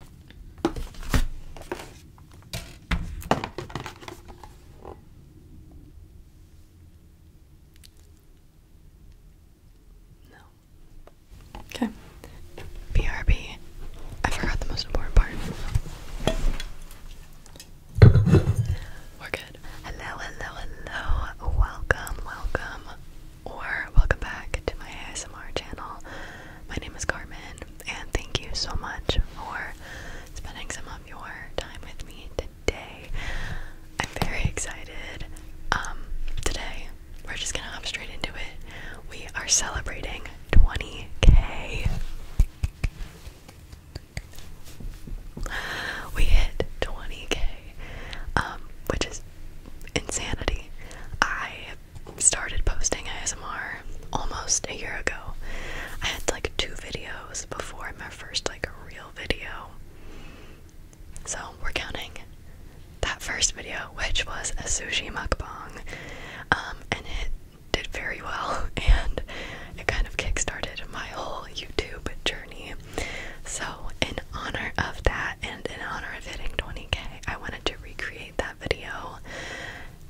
No. Okay. BRB. I forgot the most important part. We're good. Hello, hello, hello. Welcome, welcome, or welcome back to my ASMR channel. My name is Carmen, and thank you so much for spending some of your time with me today. I'm very excited. Um, today we're just gonna hop straight into it. We are celebrating 20k. We hit 20k, um, which is insanity. I started posting ASMR almost a year ago. I had like two videos before my first like real video. So we're counting that first video, which was a sushi mukbang, um, and it did very well, and it kind of kickstarted my whole YouTube journey. So in honor of that, and in honor of hitting 20k, I wanted to recreate that video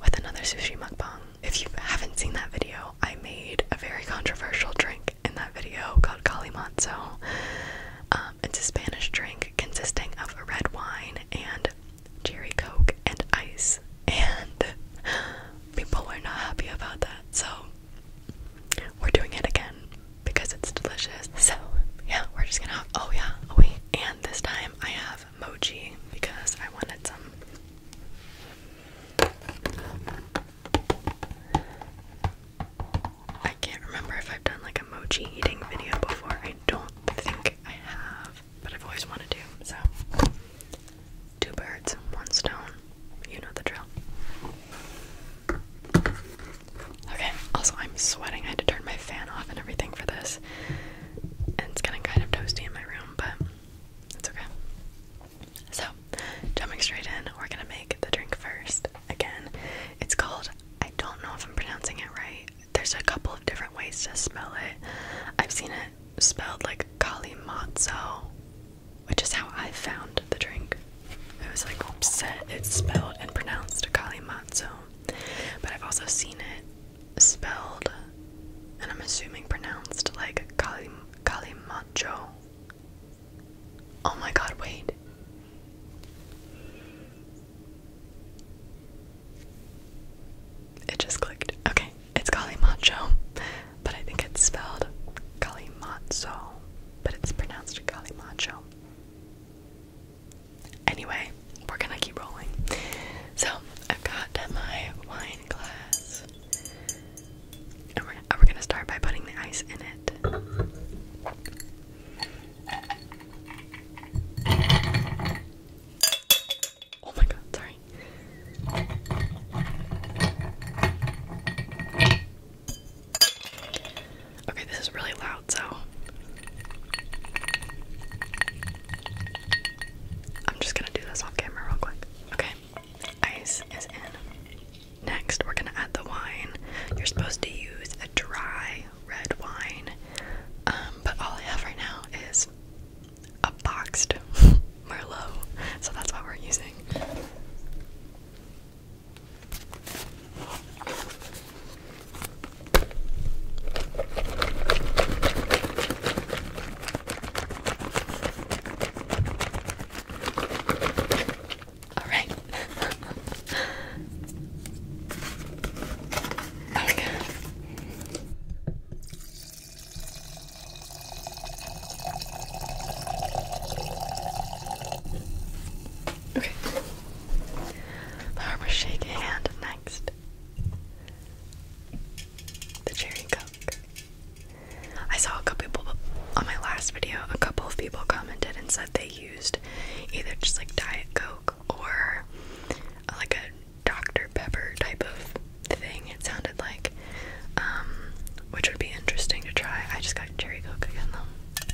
with another sushi mukbang. If you haven't seen that video, I made a very controversial drink in that video called Calimanzo. Um, it's a Spanish drink consisting of red wine and cherry coke and ice, and people were not happy about that, so we're doing it again because it's delicious. So, yeah, we're just gonna. Oh, yeah, oh, And this time I have Emoji because I wanted some. I can't remember if I've done like a mochi eating video before. I don't think I have, but I've always wanted to. So, two birds, one stone. You know the drill. Okay, also, I'm sweating. I had to turn my fan off and everything for this. It's getting kind of toasty in my room, but it's okay. So, jumping straight in, we're gonna make the drink first. Again, it's called, I don't know if I'm pronouncing it right. There's a couple of different ways to spell it. I've seen it spelled like Kalimazzo, which is how I found the drink. I was like, upset it's spelled and pronounced Kalimazzo. But I've also seen it spelled, and I'm assuming pronounced like Kalim Kalimacho. Oh my god, wait. It just clicked. Okay, it's Kalimacho, but I think it's spelled Kalimatso, but it's pronounced Kalimacho. Anyway, we're gonna keep rolling. So I've got my wine glass, and we're, gonna start by putting the ice in it. Oh my god, sorry. Okay, this is really loud so I'm just gonna do this off camera real quick. Okay, ice is in. Next, we're gonna add the wine. You're supposed to use a dry red wine, um, but all I have right now is a boxed Merlot, so that's what we're using. All right. okay. Okay. Barbara, shake your hand next. The cherry coke. I saw a couple people on my last video, a couple of people commented and said they used either just like Diet Coke or like a Dr. Pepper type of thing, it sounded like. Um, which would be interesting to try. I just got cherry coke again though.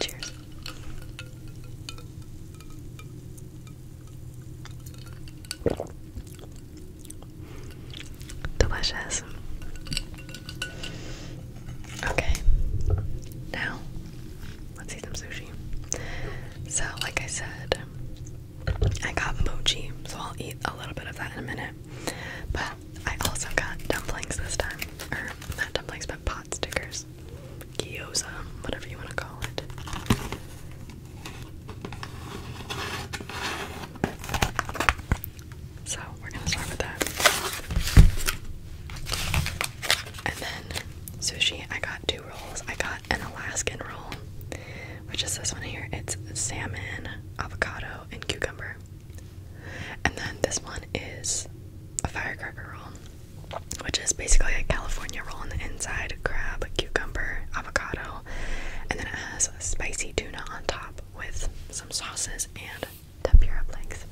Cheers. Delicious. Okay. Now, let's eat some sushi. So, like I said, I got mochi, so I'll eat a little bit of that in a minute. But I also got dumplings this time. Or not dumplings, but pot stickers. Gyoza, whatever you want to call it. So we're gonna start with that. And then sushi, I got two rolls. I got an Alaskan roll which is this one here. It's salmon, avocado, and cucumber. And then this one is a firecracker roll, which is basically a California roll on the inside crab, cucumber, avocado, and then it has spicy tuna on top with some sauces and tempura flakes.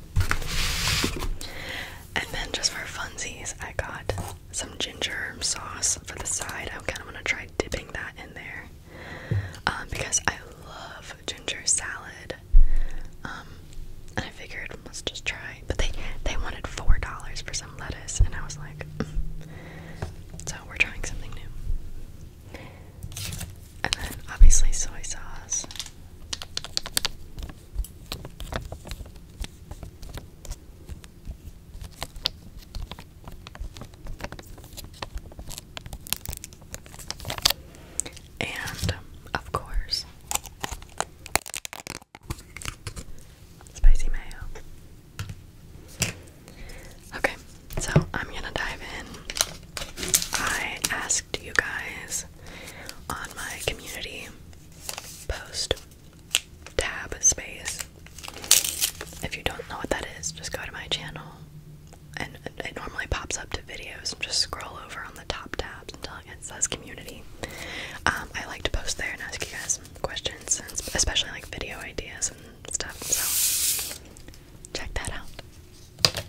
And then just for funsies, I got some ginger sauce for the side. I'm kind of want to try dipping that in there. Um, because I love ginger salad. Um, and I figured let's just try. But they they wanted four dollars for some lettuce, and I was like, so we're trying something new. And then obviously soy sauce. And of course, spicy mayo. Okay, so I'm gonna dive in. I asked you guys on my community post tab space if you don't know what that is, just go to my channel. And it normally pops up to videos. And just scroll over on the top tabs until it says community. Um, I like to post there and ask you guys questions, and especially like video ideas and stuff. So check that out.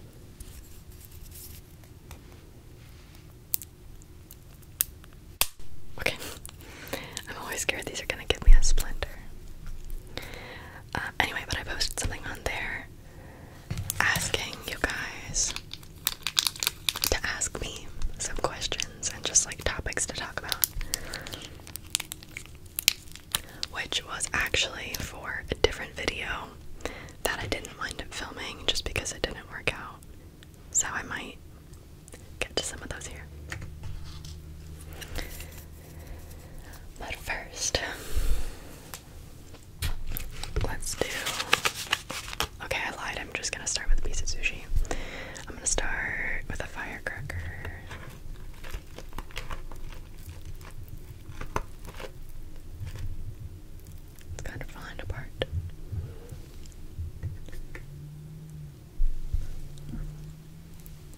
Okay, I'm always scared these are gonna give me a splinter. Uh, anyway, but I posted something on there asking you guys to ask me some questions and just like topics to talk about. Which was actually for a different video that I didn't wind up filming just because it didn't work out. So I might get to some of those here. But first, let's do. Okay, I lied. I'm just gonna start with a piece of sushi. I'm gonna start with a firecracker. It's kind of falling apart.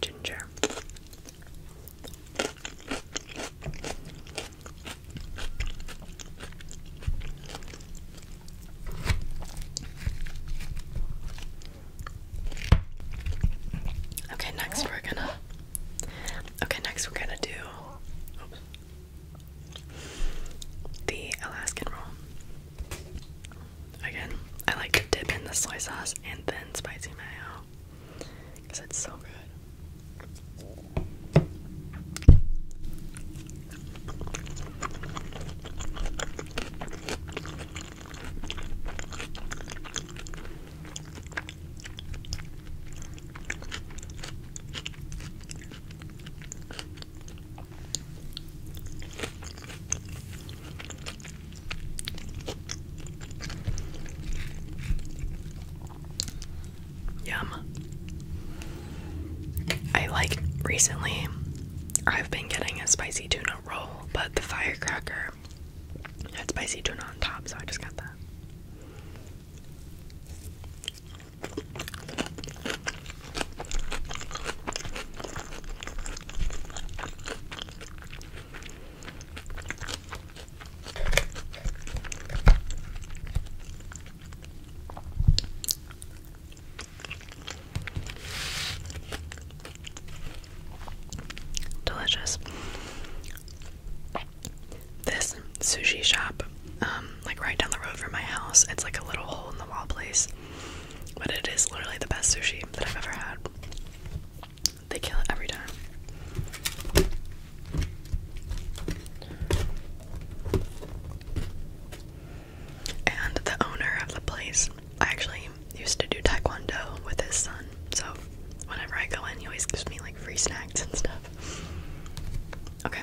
Ginger. Okay, next we're gonna. Okay, next we're gonna do the Alaskan roll. Again, I like to dip in the soy sauce and then spicy mayo because it's so good. Yum. I like recently I've been getting a spicy tuna roll, but the firecracker had spicy tuna on top, so I just got that. Delicious. This sushi shop um, like right down the road from my house. It's like a little hole in the wall place, but it is literally the best sushi that I've ever had. They kill it every time. And the owner of the place, I actually used to do taekwondo with his son. So whenever I go in, he always gives me like free snacks and stuff. Okay.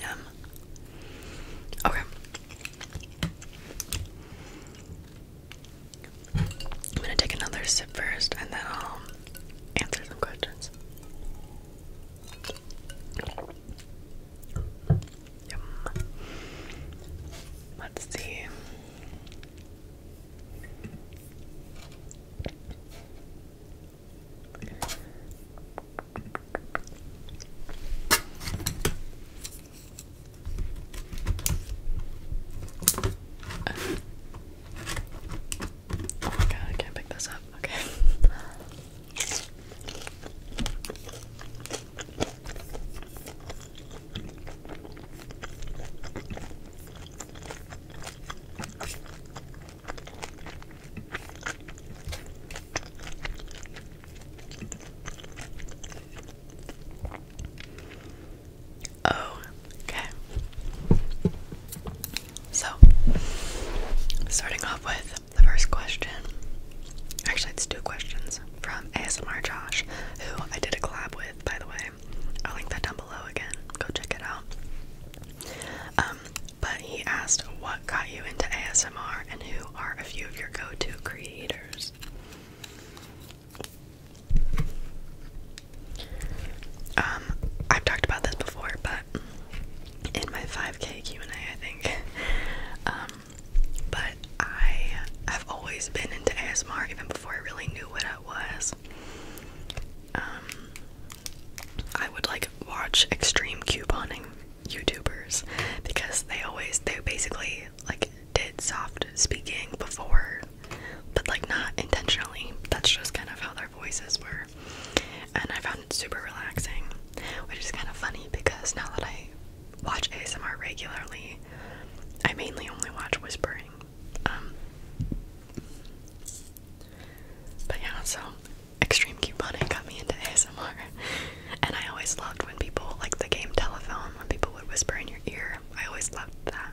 Yum. Okay. I'm gonna take another sip first and then I'll answer some questions. Let's see. Oh I can't pick this up. Okay. Oh, okay. So, starting off with the first question. Actually, it's two questions from ASMR Josh, who I did a collab with, by the way. I'll link that down below again. Go check it out. Um, but he asked what got you into ASMR and who are a few of your go-to creators. Um, I've talked about this before, but in my 5K Q&A, I think. Um, but I have always been into ASMR even before I really knew what it was. Um, I would like watch extreme couponing YouTubers because they always they basically like did soft speaking before but like not intentionally. That's just kind of how their voices were. And I found it super relaxing, which is kind of funny because now that I watch ASMR regularly, I mainly only watch whispering. Um, but yeah, so extreme couponing got me into ASMR. And I always loved when people, like the game telephone, when people would whisper in your ear. I always loved that.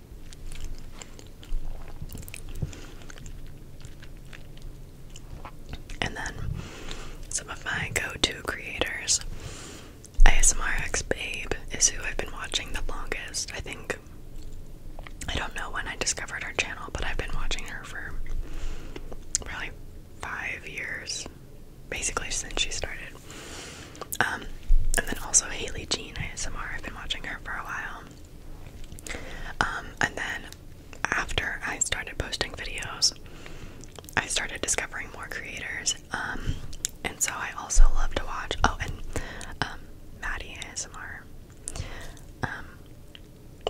and then some of my go-to creators. ASMRX Babe is who I've been watching the longest. I think I don't know when I discovered her channel, but I've been watching her for probably five years, basically since she started. Um, and then also Haley Jean ASMR. I've been watching her for a while. Um, and then after I started posting videos, I started discovering more creators. Um, and so I also love to watch. Oh, and um, Maddie ASMR um,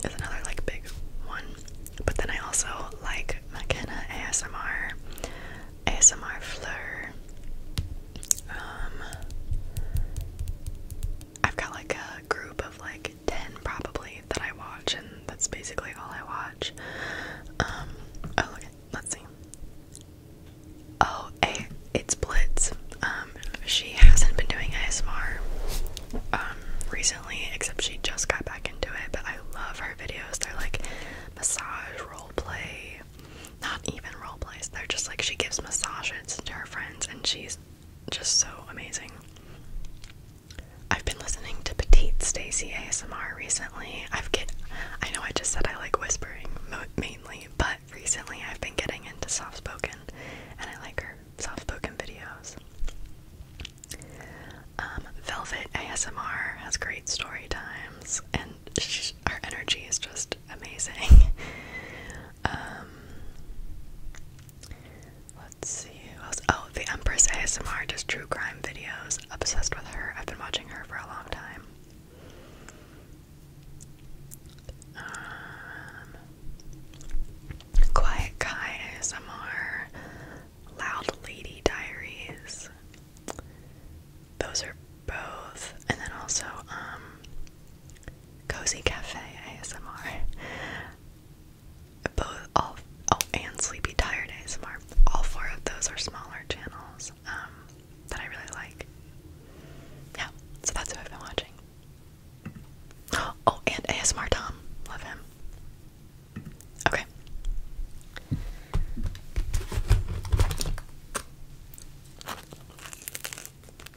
is another like big one. But then I also like McKenna ASMR, ASMR Fleur, um, I've got like a group of like 10 probably that I watch, and that's basically all I watch. Um, oh, let's see. Oh, hey, it's Blitz. Um, she hasn't been doing ASMR recently, except she just got back into it, but I love her videos. They're like massage, role play, not even role plays. They're just like she gives massages to her friends and she's just so amazing. I've been listening to Petite Stacy ASMR recently. I've get I know I just said I like whispering mainly, but recently I've been getting into soft spoken and I like her soft spoken videos. Um, Velvet ASMR has great story times and her energy is just amazing. Um, let's see Oh, the Empress ASMR does true crime videos. Obsessed with her. I've been watching her for a long time. Um, Quiet Kai ASMR. Loud Lady Diaries. Those are both. And then also, um, Cozy Cafe ASMR. Both all oh and Sleepy Tired ASMR. All four of those are smaller channels um, that I really like. Yeah, so that's who I've been watching. Oh, and ASMR Tom, love him. Okay.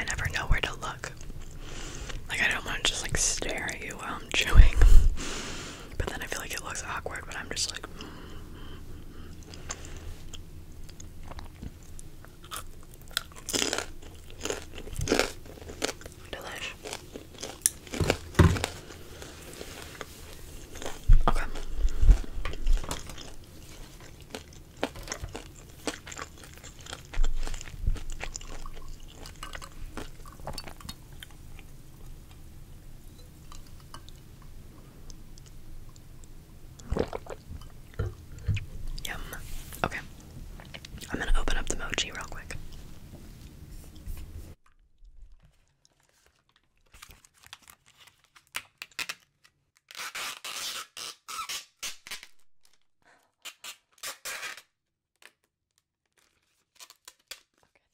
I never know where to look. Like, I don't want to just like stare at you while I'm chewing, but then I feel like it looks awkward But I'm just like. Mm, mm, mm, Delish. Okay. Yum. Okay. I'm gonna open up the mochi real quick.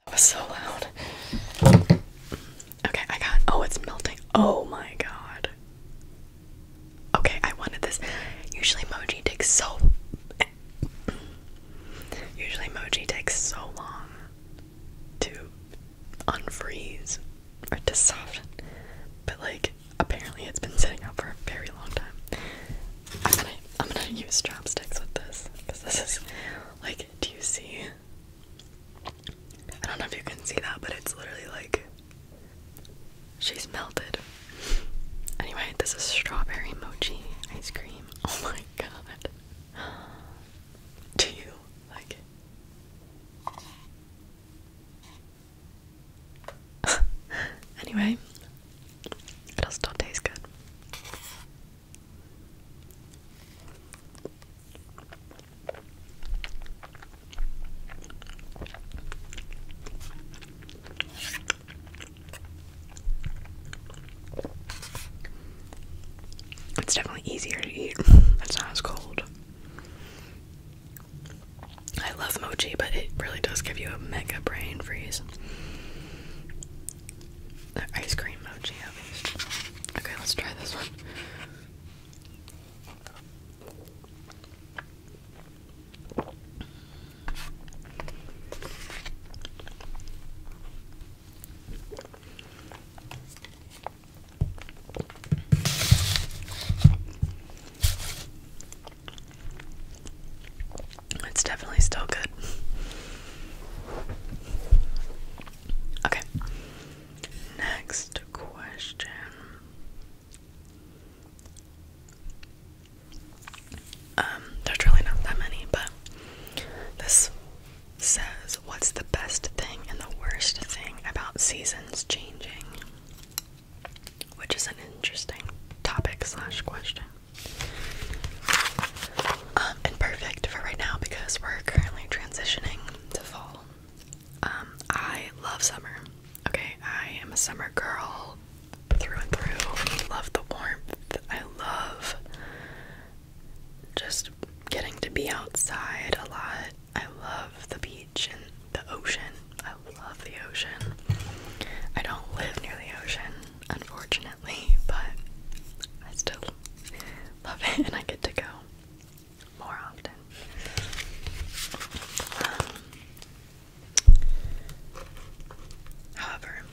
that was so loud. Okay, I got. Oh, it's melting. Oh my god. Okay, I wanted this. Usually, emoji takes so. Usually, emoji takes so long to unfreeze or to soften, but like apparently, it's been sitting out for a very long time. I'm gonna, I'm gonna use chopsticks with this because this is like. Do you see? I don't know if you can see that, but it's literally like she's melted. Anyway, this is strawberry mochi ice cream. Oh my god. Do you like it? anyway, it'll still taste good. It's definitely easier to eat. That's not as cold. I love mochi, but it really does give you a mega brain freeze. The ice cream mochi, at least. Okay, let's try this one. It's definitely still good. Okay. Next question. Um, there's really not that many, but this says, What's the best thing and the worst thing about seasons changing? Which is an interesting topic slash question. Um, and perfect for right now because we're currently transitioning to fall. Um, I love summer. Okay, I am a summer girl through and through. Love the warmth. I love just getting to be outside a lot. I love the beach and the ocean. I love the ocean. I don't live near the ocean, unfortunately, but I still love it and I get to go more often. however,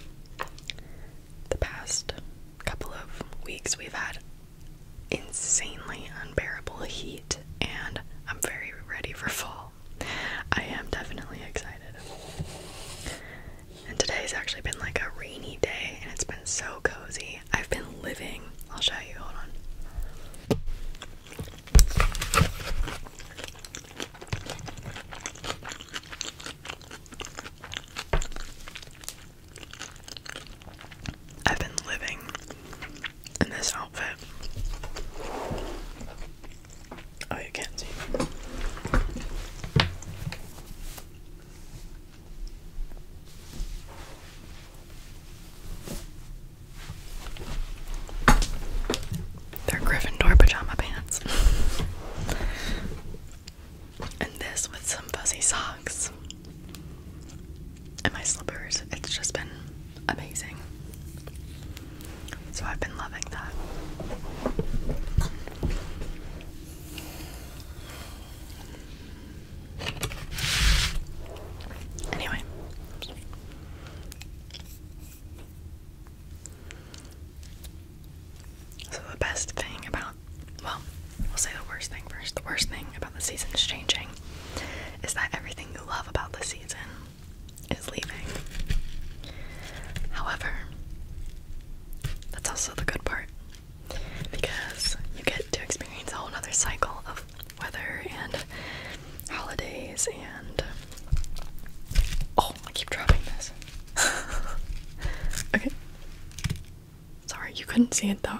the past couple of weeks we've had insanely unbearable heat, and I'm very ready for fall. I am definitely excited. And today's actually been like a rainy day, and it's been so cozy. I've been living. I'll show you. Hold on. I've been living in this outfit. Oh, you can't see. They're Gryffindor pajama pants. and this with some fuzzy socks. And my slippers. It's just been amazing. So I've been loving that. Anyway. So the best thing about well, we'll say the worst thing first. The worst thing about the season's changing is that everything you love about the season is leaving. However, that's also the good part because you get to experience a whole other cycle of weather and holidays and oh I keep dropping this okay sorry you couldn't see it though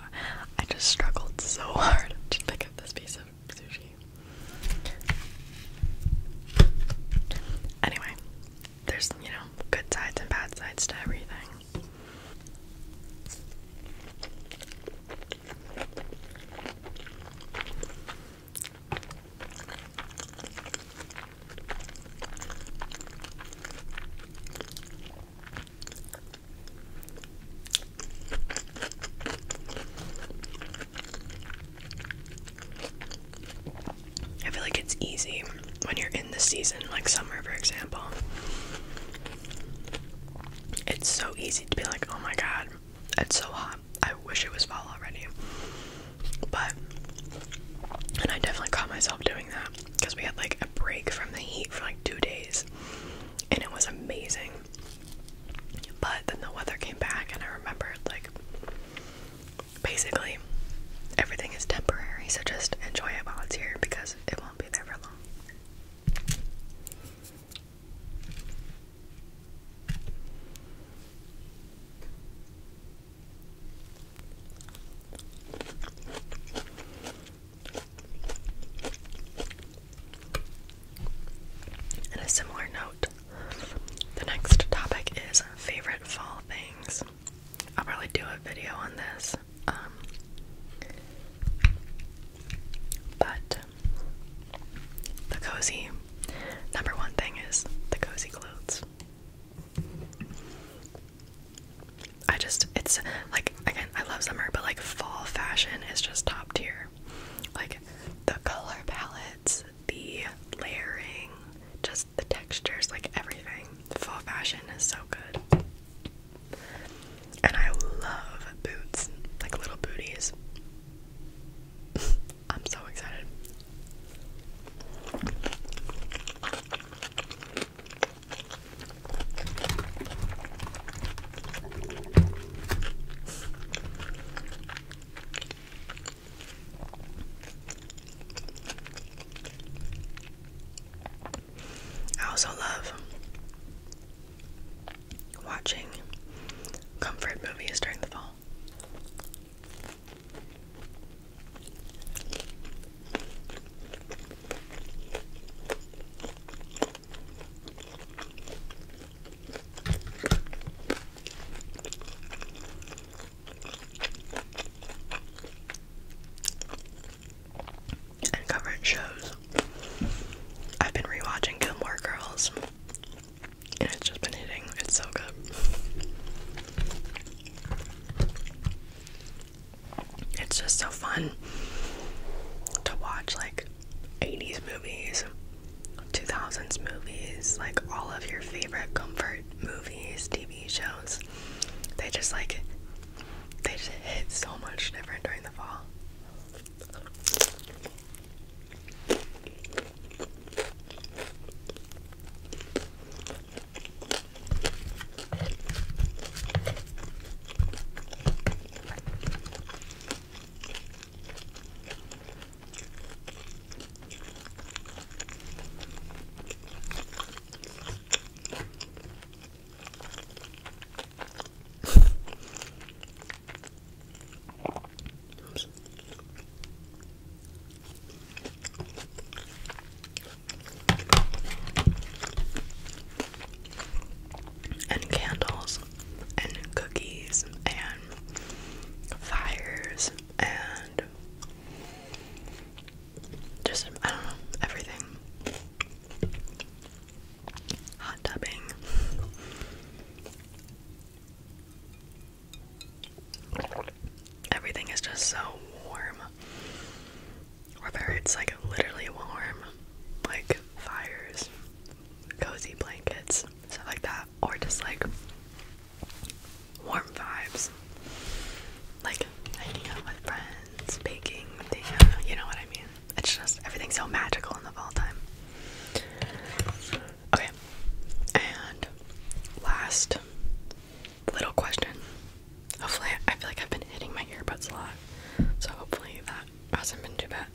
I just struggled so hard to pick up this piece of sushi anyway there's you know good sides and bad sides to everything I feel like it's easy when you're in the season, like summer, for example. It's so easy to be like, oh my god, it's so hot. I wish it was fall already. But, and I definitely caught myself doing that because we had like a break from the heat for like two days and it was amazing. But then the weather came back, and I remembered like basically everything is temporary, so just enjoy it while it's here because it won't be there for long. In a similar note, the next topic is favorite fall things. I'll probably do a video on this um, but the cozy number one thing is the cozy clothes. I just it's like again I love summer but like fall fashion is just top tier. Like the color palettes, the layering, just the textures, like everything. Fall fashion is so good. And I love boots, like little booties. I'm so excited. I also love watching comfort movies during the fall and current shows. I've been rewatching Gilmore Girls, and it's just been hitting. It's so good. It's just so fun to watch like 80s movies, 2000s movies, like all of your favorite comfort movies, TV shows. They just like they just hit so much different during the fall. And candles, and cookies, and fires, and just I don't know everything. Hot tubbing. Everything is just so warm. Whether it's like literally warm, like fires, cozy blankets, stuff like that, or just like warm vibes. Like hanging out with friends, baking, thing, you know what I mean. It's just everything's so magical in the fall time. Okay, and last little question. Hopefully, I feel like I've been hitting my earbuds a lot, so hopefully that hasn't been too bad.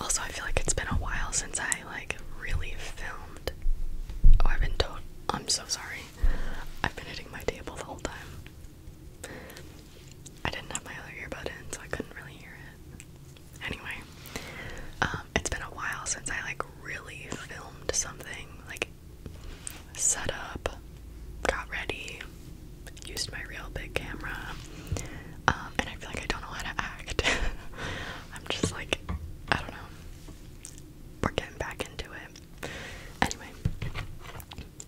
Also, I feel like it's been a while since I like really filmed. Oh, I've been told. I'm so sorry. I've been hitting my table the whole time. I didn't have my other earbud in, so I couldn't really hear it. Anyway, um, it's been a while since I like really filmed something, like set up, got ready, used my real big camera, um, and I feel like I don't know how to act. I'm just like, I don't know. We're getting back into it. Anyway.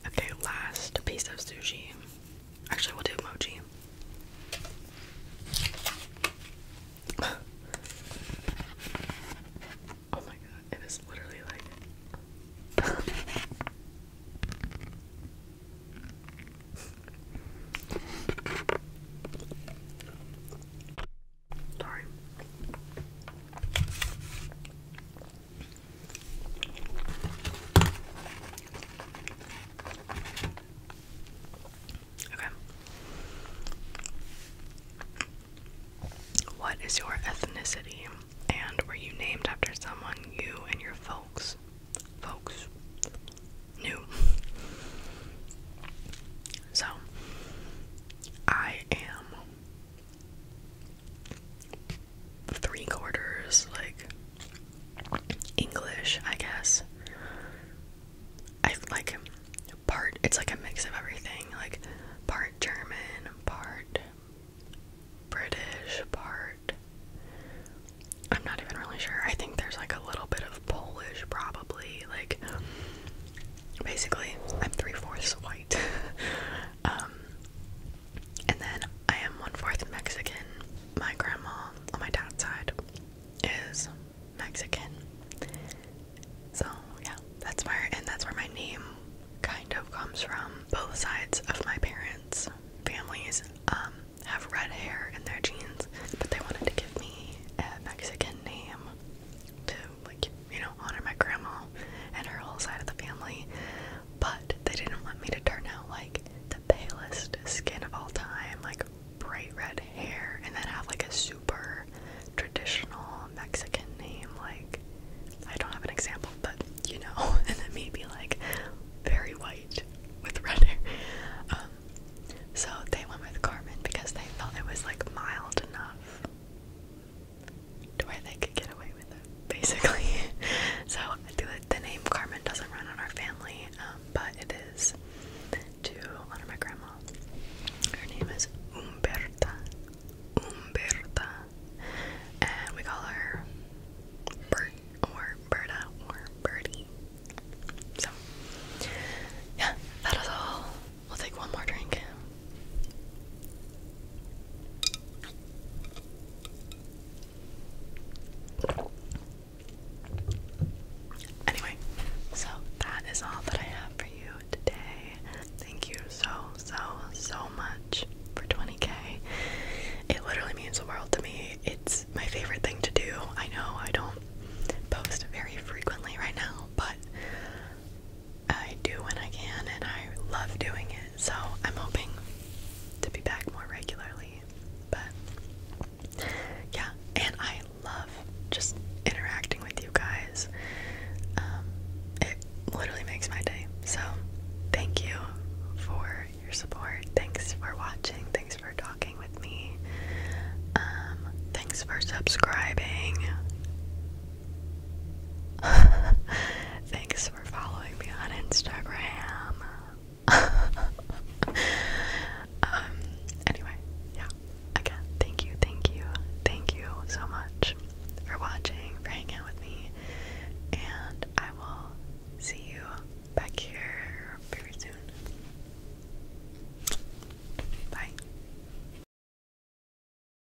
Okay, last piece of sushi. Actually, we'll do emoji. Oh my god, it is literally like. Okay. What is your ethnicity? And were you named after someone you and your folks folks knew? So I am three quarters like English, I guess. I like part it's like a mix of everything, like part German, part British, part I'm not even really sure. I think there's like a little bit of Polish probably, like basically I'm three fourths white. Um, and then I am one fourth Mexican. My grandma on my dad's side is Mexican. So yeah, that's where and that's where my name kind of comes from. Both sides of my parents' families um, have red hair in their genes, but they wanted to give me a Mexican name to like you know honor my grandma and her whole side of the family, but they didn't want me to turn out like the palest skin of all time, like bright red hair, and then have like a super traditional Mexican name. Like I don't have an example, but you know, and then maybe like very white with red hair. Um, so they went with Carmen because they felt it was like mild enough to where they could get away with it, basically. so the, the name Carmen doesn't run on our family, um, but it is to honor my grandma. Her name is Umberta. Umberta. And we call her Bert or Berta or Birdie. So, yeah, that is all We'll take one more drink. Anyway, so that is all that I have for you today. Thank you so, so, so much for 20k. It literally means the world to me. It's my favorite thing to do. I know I don't post very frequently right now, but I do when I can, and I love doing it. So I'm hoping to be back more regularly. But yeah, and I love just interacting with you guys. Um, it literally makes my day. So thank you for your support. Thanks for watching. Thanks for talking with me. Um, thanks for subscribing. Thanks for following me on Instagram. um, anyway, yeah. Again, thank you, thank you, thank you so much for watching, for hanging out with me, and I will see you back here very soon. Bye.